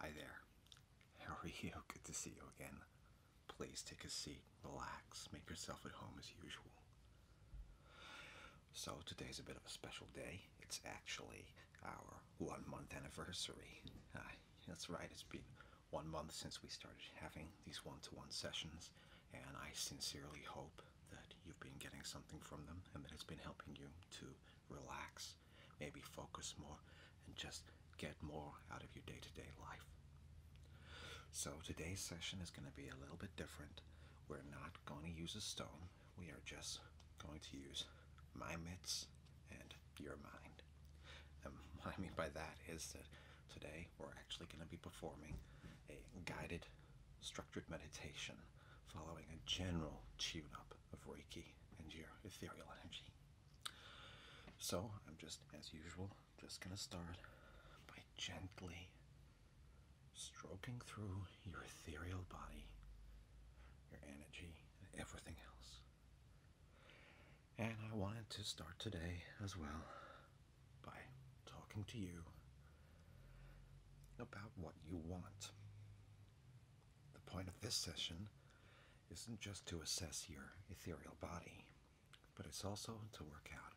Hi there. How are you? Good to see you again. Please take a seat, relax, make yourself at home as usual. So, today's a bit of a special day. It's actually our one month anniversary. that's right, it's been one month since we started having these one to one sessions, and I sincerely hope that you've been getting something from them and that it's been helping you to relax, maybe focus more, and just get more out of your day to day life. So, today's session is going to be a little bit different. We're not going to use a stone, we are just going to use my mitts and your mind. And what I mean by that is that today we're actually going to be performing a guided, structured meditation following a general tune up of Reiki and your ethereal energy. So, I'm just, as usual, just going to start by gently stroking through your ethereal body, your energy, and everything else. And I wanted to start today as well by talking to you about what you want. The point of this session isn't just to assess your ethereal body, but it's also to work out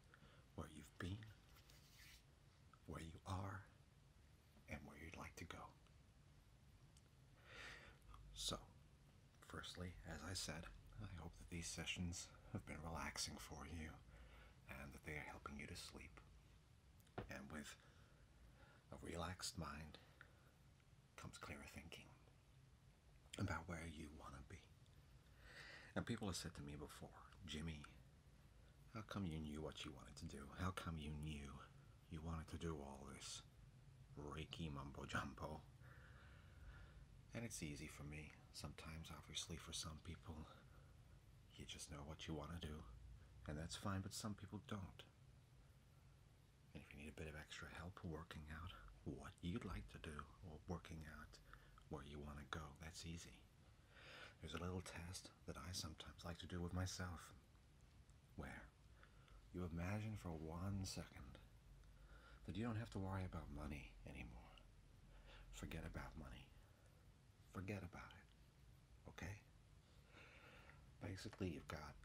where you've been, where you are, and where you'd like to go. So, firstly, as I said, I hope that these sessions have been relaxing for you and that they are helping you to sleep and with a relaxed mind comes clearer thinking about where you want to be. And people have said to me before, Jimmy, how come you knew what you wanted to do? How come you knew you wanted to do all this Reiki mumbo jumbo? And it's easy for me. Sometimes, obviously, for some people, you just know what you want to do, and that's fine, but some people don't. And if you need a bit of extra help working out what you'd like to do or working out where you want to go, that's easy. There's a little test that I sometimes like to do with myself where you imagine for one second that you don't have to worry about money anymore. Forget about money. Forget about it. Okay? Basically, you've got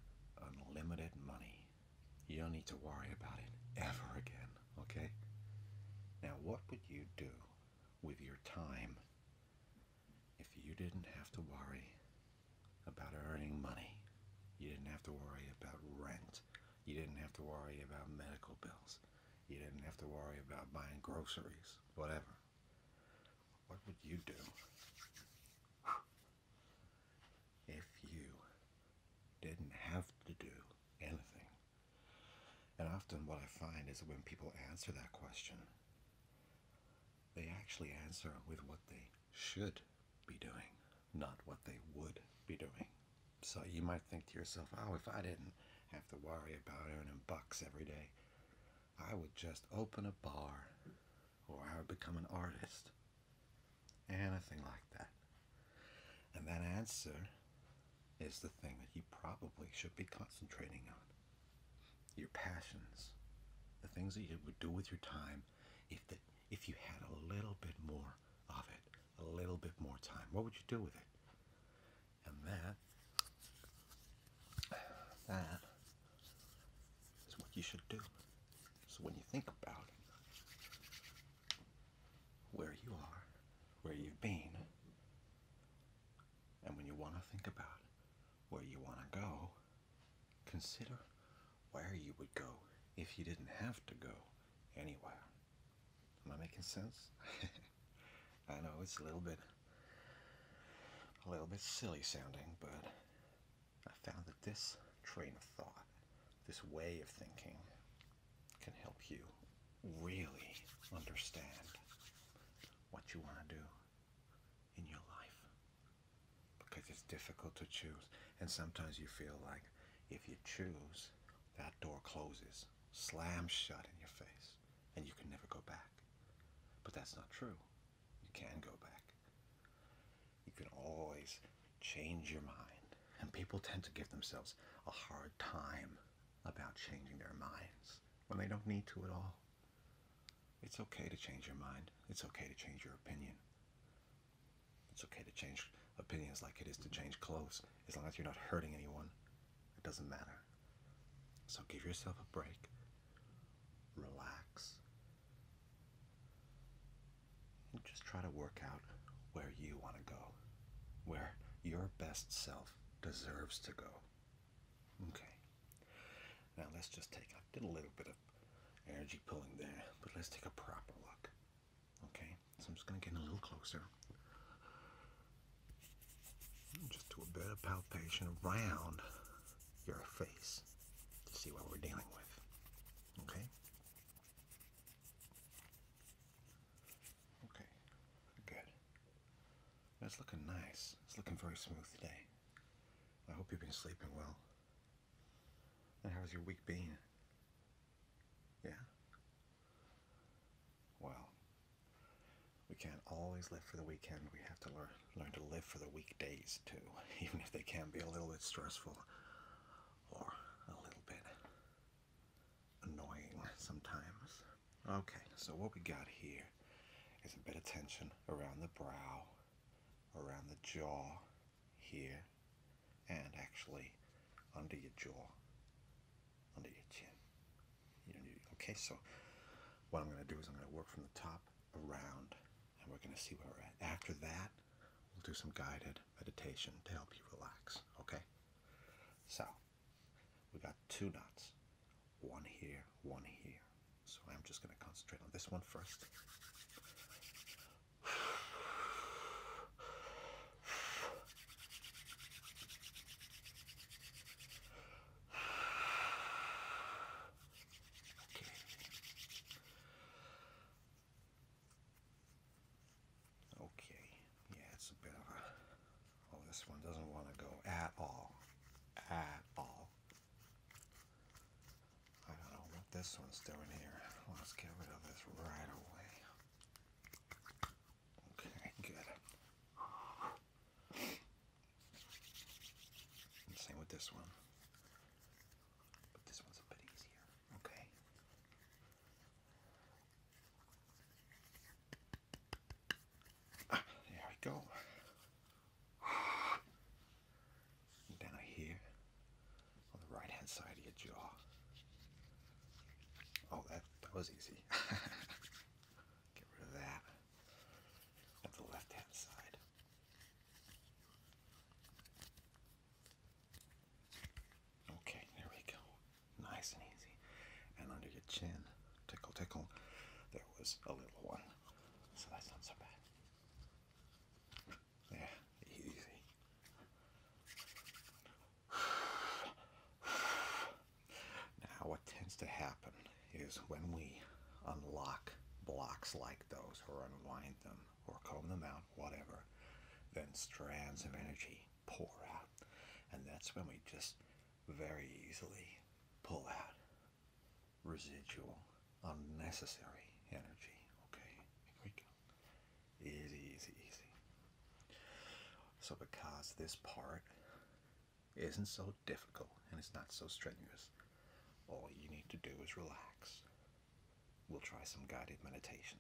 unlimited money. You don't need to worry about it ever again. Okay? Now, what would you do with your time if you didn't have to worry about earning money? You didn't have to worry about rent. You didn't have to worry about medical bills. You didn't have to worry about buying groceries, whatever. What would you do if you didn't have to do anything? And often, what I find is that when people answer that question, they actually answer with what they should be doing, not what they would be doing. So you might think to yourself, oh, if I didn't have to worry about earning bucks every day, I would just open a bar or I would become an artist. Anything like that. And that answer is the thing that you probably should be concentrating on. Your passions. The things that you would do with your time if the, if you had a little bit more of it, a little bit more time. What would you do with it? And that, that is what you should do. So when you think about where you are, where you've been, and when you want to think about where you want to go, consider where you would go if you didn't have to go anywhere. Am I making sense? I know it's a little bit a little bit silly sounding, but I found that this train of thought, this way of thinking, can help you really understand what you want to do in your life. Because it's difficult to choose. And sometimes you feel like if you choose, that door closes, slams shut in your face and you can never go back. But that's not true. You can go back. You can always change your mind. And people tend to give themselves a hard time about changing their minds when they don't need to at all. It's okay to change your mind. It's okay to change your opinion. It's okay to change opinions like it is to change clothes, as long as you're not hurting anyone it doesn't matter. So give yourself a break. Relax. And just try to work out where you want to go, where your best self deserves to go. Okay. Now let's just take, I did a little bit of energy pulling there, but let's take a proper look. Okay, so I'm just going to get a little closer. Just do a bit of palpation around your face to see what we're dealing with. Okay? Okay, good. That's looking nice. It's looking very smooth today. I hope you've been sleeping well. And how's your week been? Yeah? Well, we can't always live for the weekend. We have to learn learn to live for the weekdays too, even if they can be a little bit stressful or a little bit annoying sometimes. Okay, so what we got here is a bit of tension around the brow, around the jaw here, and actually under your jaw, under your chin okay, so what I'm going to do is I'm going to work from the top around, and we're going to see where we're at. After that, we'll do some guided meditation to help you relax, okay? So, we got two knots, one here, one here. So I'm just going to concentrate on this one first. Okay. Okay. Yeah, it's a bit of a. Oh, this one doesn't want to go at all. At all. I don't know what this one's doing here. Let's get rid of this right away. Okay, good. same with this one. this one's a bit easier. Okay. Ah, there we go. And down here on the right hand side of your jaw. Oh, that, that was easy. Get rid of that at the left hand side. Okay, there we go. Nice and easy. And under your chin, tickle, tickle, there was a little one. So that's not so bad. Yeah, easy. Now, what tends to happen is when we unlock blocks like those, or unwind them, or comb them out, whatever, then strands of energy pour out. And that's when we just very easily pull out residual, unnecessary energy. Okay, here we go. Easy, easy, easy. So, because this part isn't so difficult and it's not so strenuous, all you need to do is relax. We'll try some guided meditation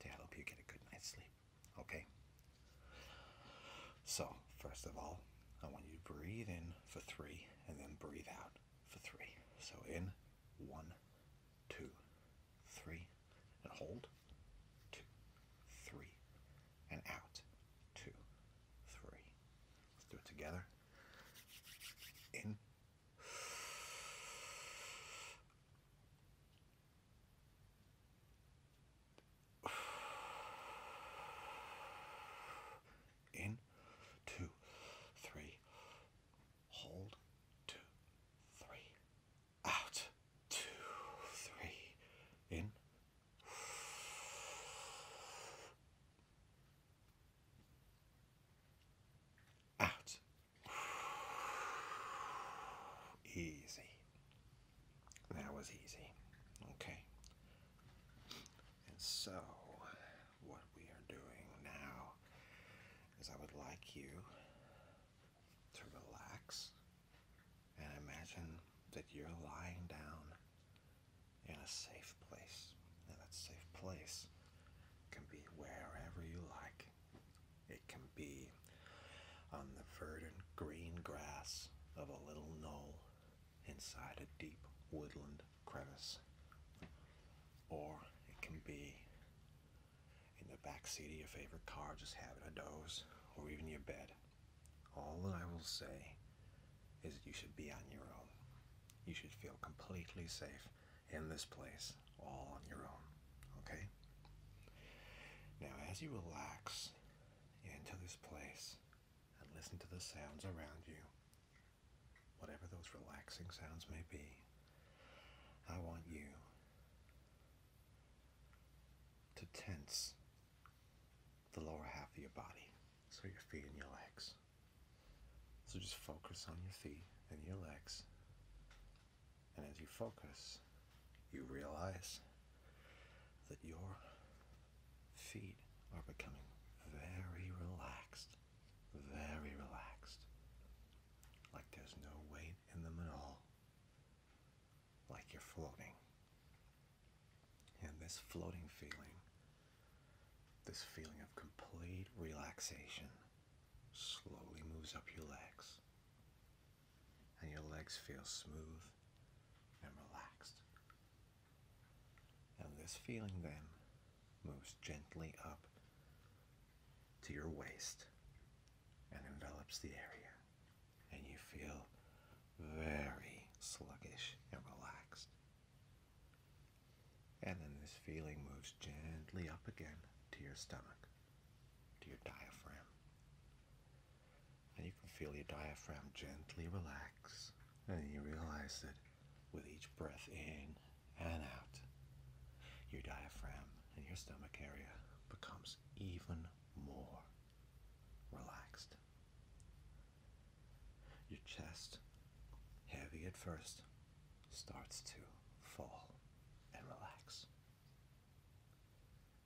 to help you get a good night's sleep. Okay? So, first of all, I want you to breathe in for three and then breathe out for three. So, in one, two, three, and hold, two, three, and out, two, three. Let's do it together. In, in, two, three, hold, two, three, out, two, three, in. Out. Easy. That was easy. Okay. And so, what we are doing now is I would like you to relax and imagine that you're lying down in a safe place. And that safe place can be wherever you like. It can be on the verdant green grass of a little knoll inside a deep woodland crevice. Or it can be in the back seat of your favorite car just having a doze or even your bed. All that I will say is that you should be on your own. You should feel completely safe in this place all on your own. Okay? Now, as you relax into this place and listen to the sounds around you, whatever those relaxing sounds may be, I want you to tense the lower half of your body. So your feet and your legs. So just focus on your feet and your legs. And as you focus, you realize that your feet are becoming very relaxed, very relaxed, like there's no weight in them at all like you're floating. And this floating feeling, this feeling of complete relaxation, slowly moves up your legs. And your legs feel smooth and relaxed. And this feeling then moves gently up to your waist and envelops the area, and you feel very sluggish and relaxed. And then this feeling moves gently up again to your stomach, to your diaphragm. And you can feel your diaphragm gently relax. And you realize that with each breath in and out, your diaphragm and your stomach area becomes even more relaxed. Your chest, heavy at first, starts to fall and relax.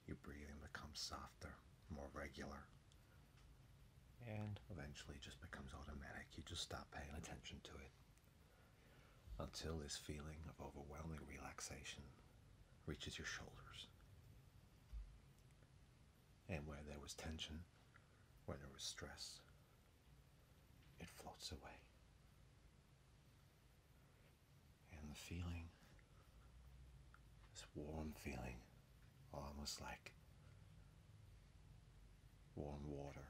Your breathing becomes softer, more regular, and eventually just becomes automatic. You just stop paying attention to it until this feeling of overwhelming relaxation reaches your shoulders. And where there was tension, where there was stress, it floats away. And the feeling, this warm feeling, almost like warm water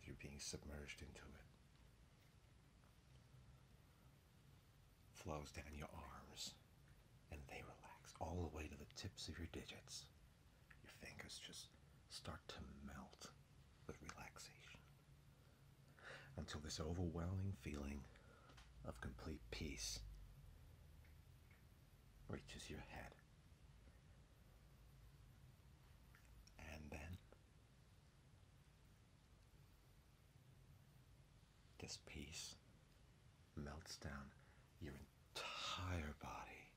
as you're being submerged into it flows down your arms and they relax all the way to the tips of your digits. Your fingers just start to melt with relaxation until this overwhelming feeling of complete peace reaches your head. And then this peace melts down your entire body,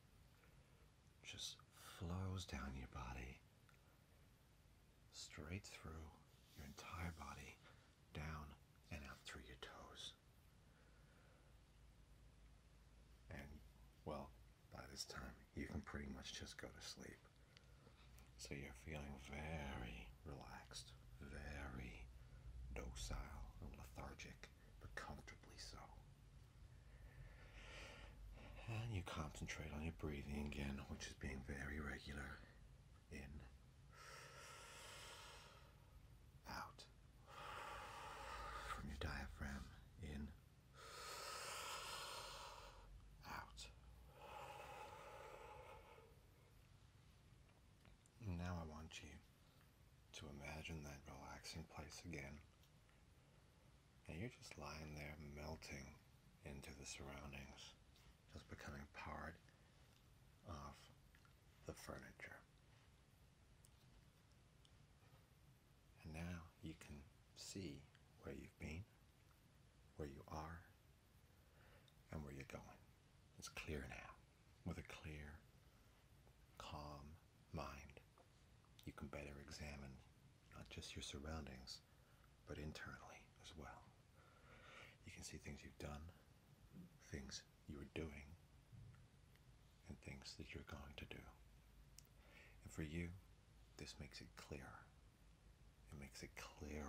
just flows down your body, straight through your entire body, down and out through your toes. And well, by this time, you can pretty much just go to sleep. So you're feeling very relaxed, very docile and lethargic, but comfortably so. And you concentrate on your breathing again, which is being very regular. In, out, from your diaphragm, in, out. now I want you to imagine that relaxing place again. And you're just lying there melting into the surroundings, just becoming part of the furniture. And now you can see where you've been, where you are, and where you're going. It's clear now. With a clear, calm mind, you can better examine not just your surroundings, but internally as well. You can see things you've done, things you are doing, and things that you're going to do. And for you, this makes it clear. It makes it clear.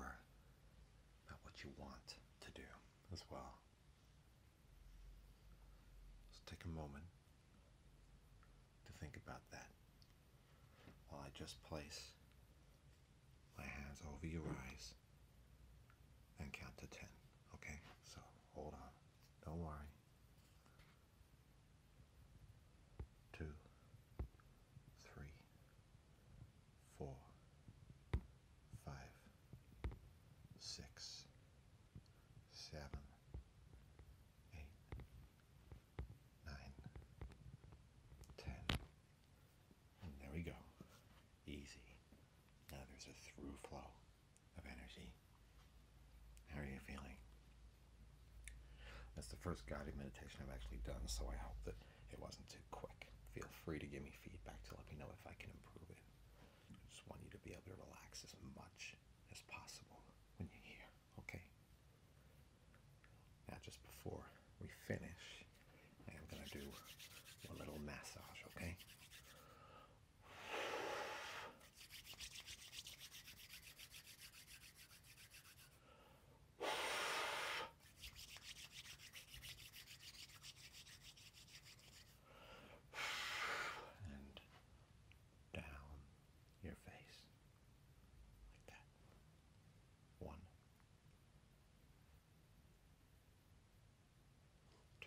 at what you want to do as well. So take a moment to think about that while I just place my hands over your eyes and count to 10. Okay? So hold on. Don't worry two, three, four, five, six, seven, eight, nine, ten. And there we go. Easy. Now there's a through flow of energy how are you feeling? That's the first guided meditation I've actually done, so I hope that it wasn't too quick. Feel free to give me feedback to let me know if I can improve it. I just want you to be able to relax as much as possible when you're here, okay? Now, just before we finish, I am going to do a little massage, okay? and down your face like that. One,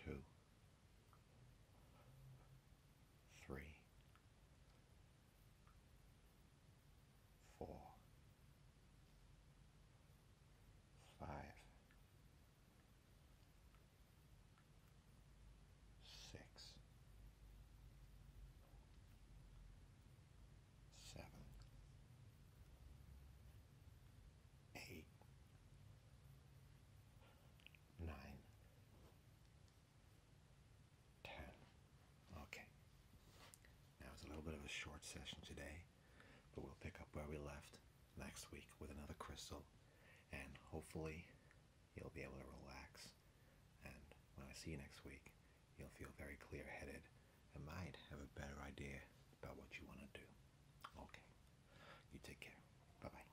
two three, four, five, six, seven, eight, nine. 10. Okay. Now it's a little bit of a short session today, but we'll pick up where we left next week with another crystal, and hopefully you'll be able to relax. And when I see you next week, you'll feel very clear headed and might have a better idea about what you want to do. Okay. You take care. Bye bye.